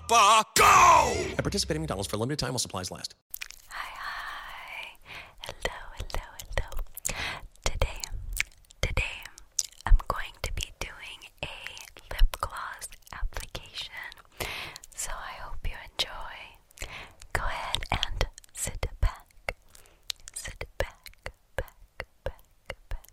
Papa, go! At participating McDonald's for a limited time while supplies last. Hi, hi. Hello, hello, hello. Today, today, I'm going to be doing a lip gloss application. So I hope you enjoy. Go ahead and sit back. Sit back, back, back, back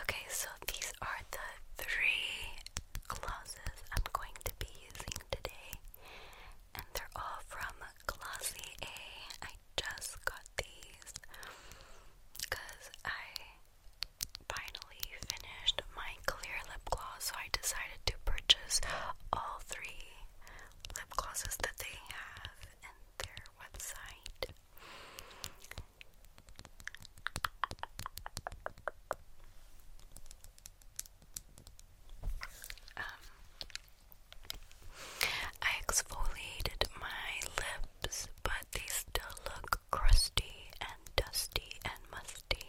Okay, so these are the three glosses I'm going to be using today, and they're all from Glossy A. I just got these because I finally finished my clear lip gloss, so I decided to purchase all three lip glosses that they have in their website. Um, I exfoliated my lips, but they still look crusty and dusty and musty.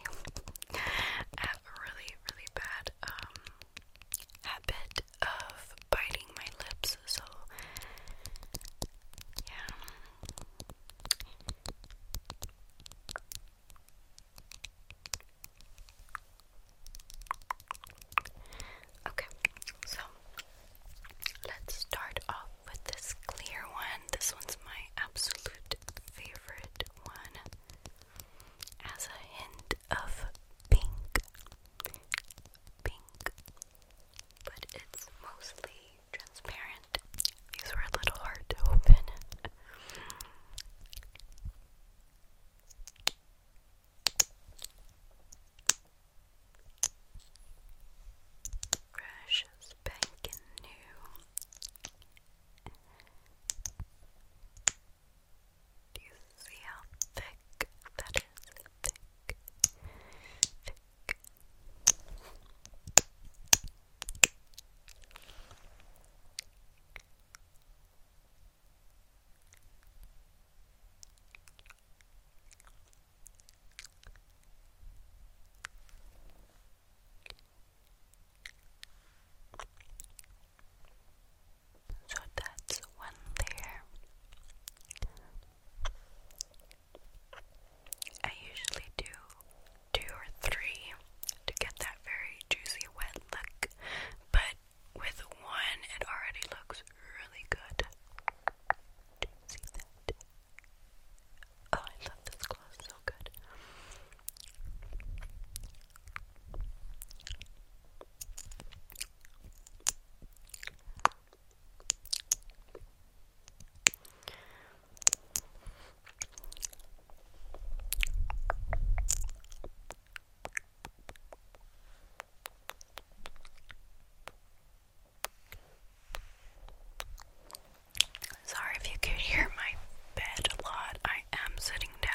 have really, really bad um, habit of biting my lips, so yeah. Okay, so let's start off with this clear one. This one's my absolute favorite one. As a hint of pink. Pink, but it's mostly transparent. These were a little hard to open. Precious banking new. Do you see how thick that is? Thick, thick, so that's one layer. I usually do two or three to get that very juicy wet look, but with one it already looks really good. see that? Oh, I love this gloss so good. Sorry if you could hear my bed a lot. I am sitting down.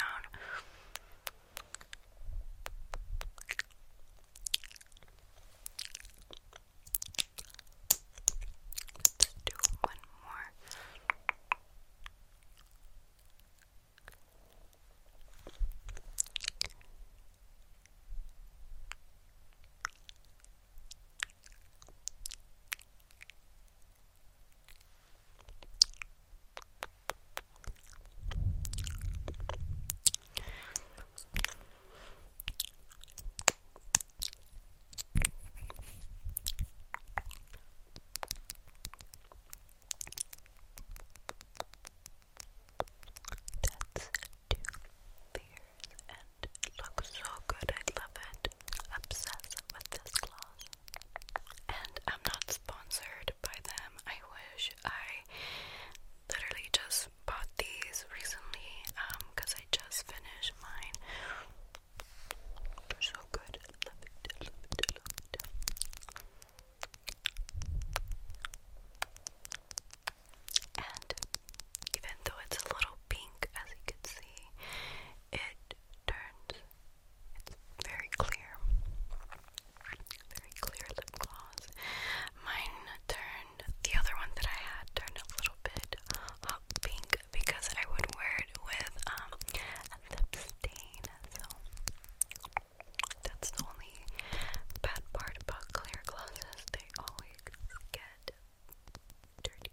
Let's do one more. That's two beers and it looks so good. I love it. Obsessed with this gloss. And I'm not sponsored by them. I wish I literally just bought these recently because um, I just finished mine. They're so good. I love it. I love it. I love it. And even though it's a little pink, as you can see, it turns. It's very clear clear lip gloss. Mine turned, the other one that I had turned a little bit hot pink because I would wear it with um, So that's the only bad part about clear glosses, they always get dirty.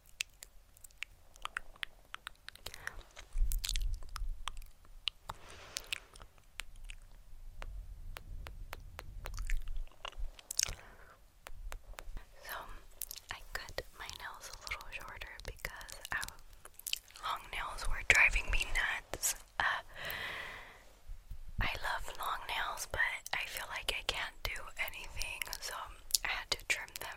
So I cut my nails a little shorter because long nails were driving me nuts. Uh, I love long nails, but I feel like I can't do anything, so I had to trim them.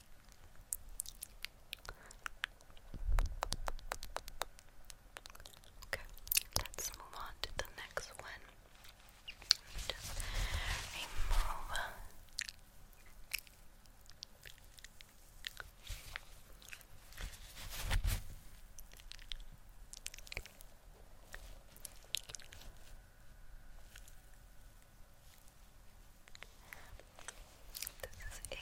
Okay, let's move on to the next one. Just remove this is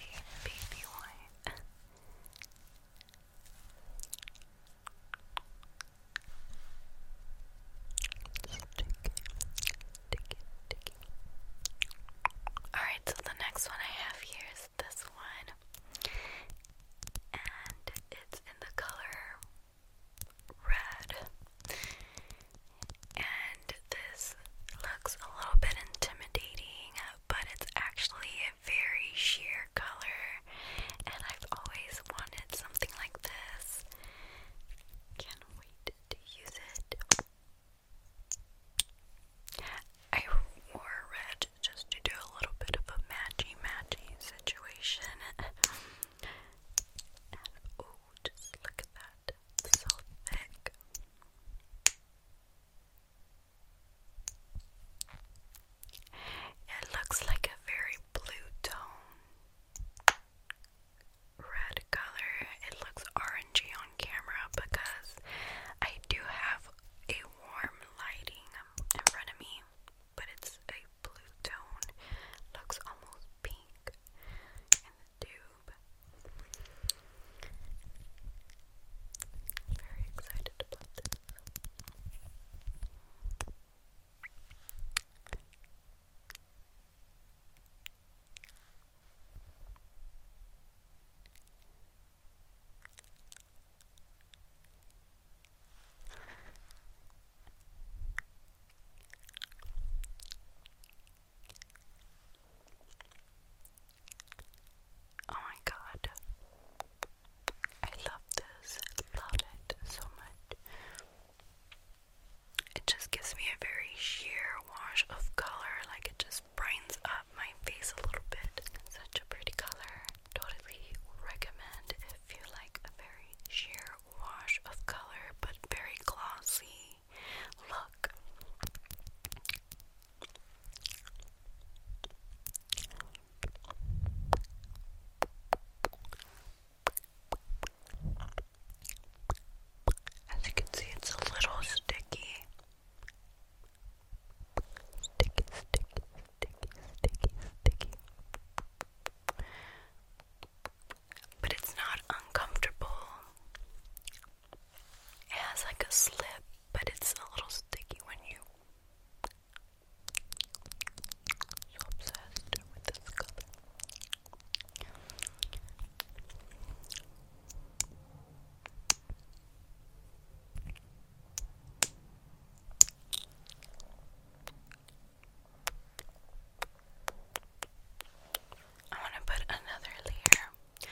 Alright, so the next one I have here is this one. And it's in the color red and this looks a little bit intimidating, but it's actually a very sheer color, and I've always wanted something like this. Can't wait to use it. I wore red just to do a little bit of a matchy matchy situation. and oh, just look at that. so thick. It looks like a very blue tone. Red color. It looks orangey on camera because I do have a warm lighting in front of me, but it's a blue tone. Looks almost pink tube. Very excited about this. Oh my god. I love this. love it so much. It just gives me a very sheer wash of color. Like it just brightens up my face a little bit. Such a pretty color. Totally recommend if you like a very sheer wash of color but very glossy Look. As you can see, it's a little sticky. Sticky, sticky, sticky, sticky, sticky. But it's not uncomfortable. It has like a slip, but it's a little sticky when you. So obsessed with this color. I want to put another layer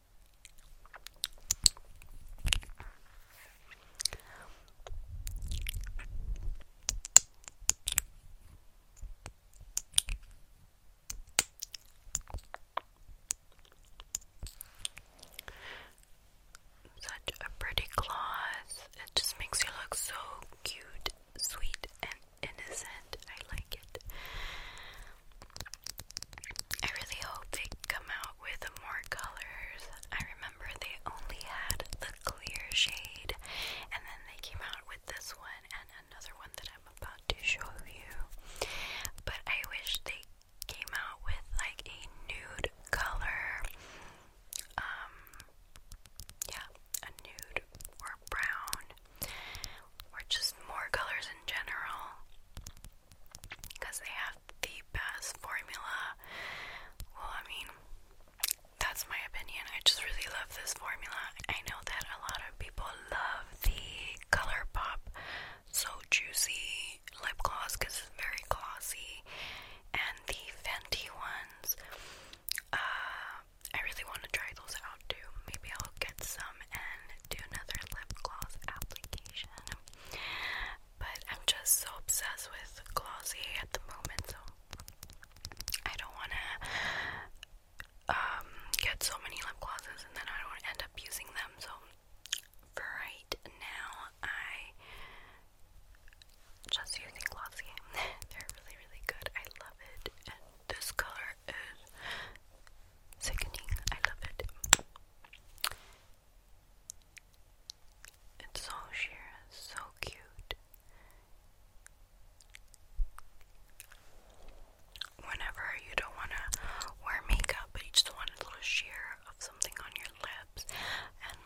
Such a pretty gloss. It just makes you look so cute, sweet, and innocent. I like it. I really hope they come out with more colors. I remember they only had the clear shade, and then they came out with this one and another one that I'm about to show you. But I wish they came out with like a nude color. Um, yeah, a nude or brown, or just more colors in general because they have the best formula. Well, I mean, that's my opinion. I just really love this formula. I know that a lot of people love the ColourPop So Juicy lip gloss because it's very glossy, and the Fenty ones. Uh, I really want to try those out too. Maybe I'll get some and do another lip gloss application. But I'm just so obsessed with Glossier at the moment, so I don't want to um, get so many lip glosses and then I don't end up using them. So for right now, I just using Glossier. They're really, really good. I love it, and this color is sickening. I love it. It's so sheer, so cute. Whenever you don't want to wear makeup, but you just want a little sheer of something on your lips, and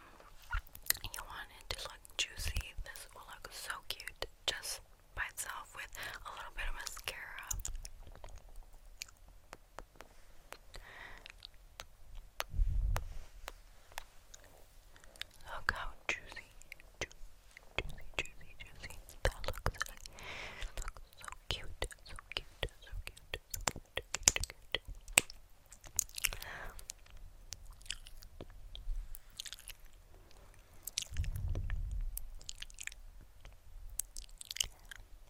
you want it to look juicy, this will look so cute just by itself with a little bit of mascara. Look how juicy, ju juicy, juicy, juicy that looks like. It looks so cute, so cute, so cute, so cute, cute, cute.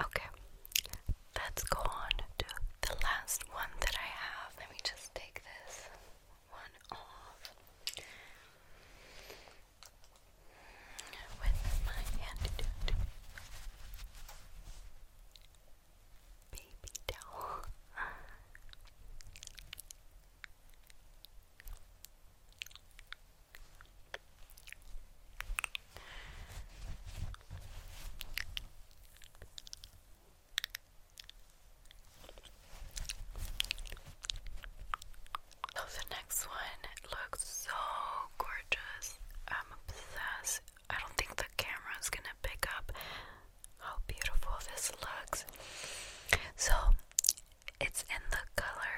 Okay, let's go on to the last one that I have. Let me just take this one off with my antidote baby towel. So oh, the next one looks so gorgeous. I'm obsessed. I don't think the camera is gonna pick up how beautiful this looks. So it's in the color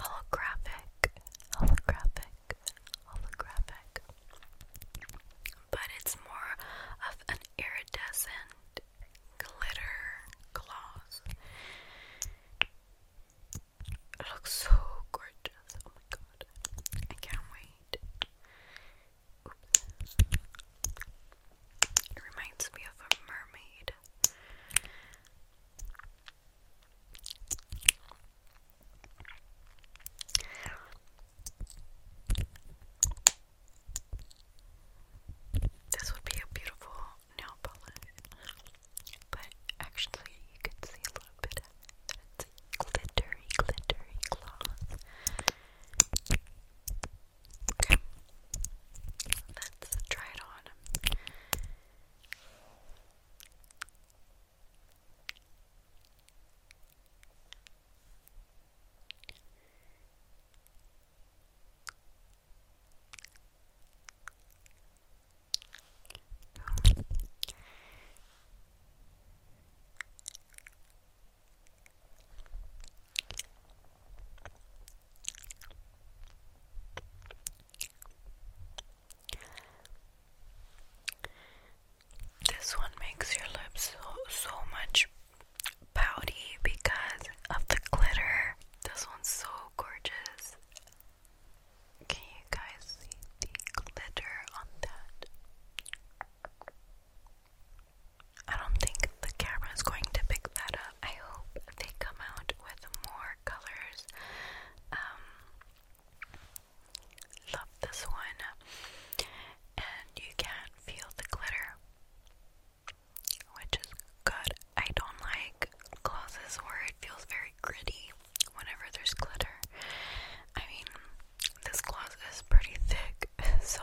holographic, holographic, holographic, but it's more of an iridescent glitter gloss. It looks so gorgeous. Oh my god. I can't wait. It reminds me of a mermaid. This would be a beautiful nail polish, but actually, you can see a little bit of It's glittery, glittery gloss. Let's try it on. This one makes your lips so, so much pouty because of the glitter. This one's so gorgeous. Can you guys see the glitter on that? I don't think the camera is going to pick that up. I hope they come out with more colors. Um, love this one. And you can feel the glitter, which is good. I don't like glosses where it feels very gritty whenever there's glitter. I mean, this gloss is pretty thick, so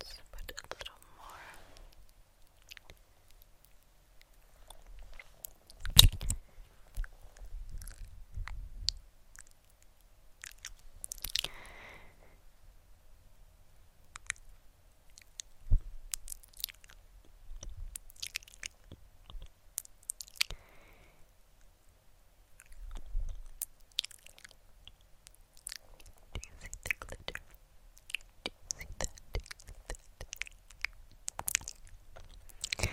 Let's put a little more do you see the glitter? Do you see that? Do you see that? Good.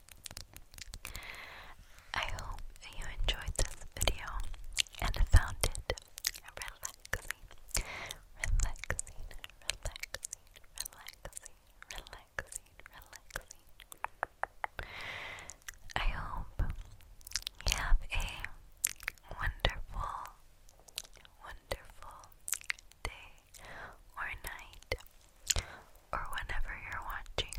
I hope you enjoyed this video and found it relaxing, relaxing, relaxing, relaxing, relaxing, relaxing. I hope you have a wonderful, wonderful day or night or whenever you're watching.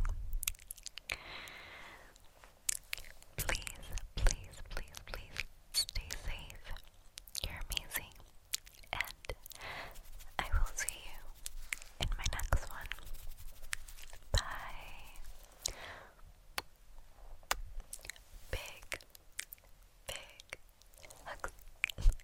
Please, please, please, please stay safe. You're amazing. And I will see you in my next one. Bye. Big, big hugs.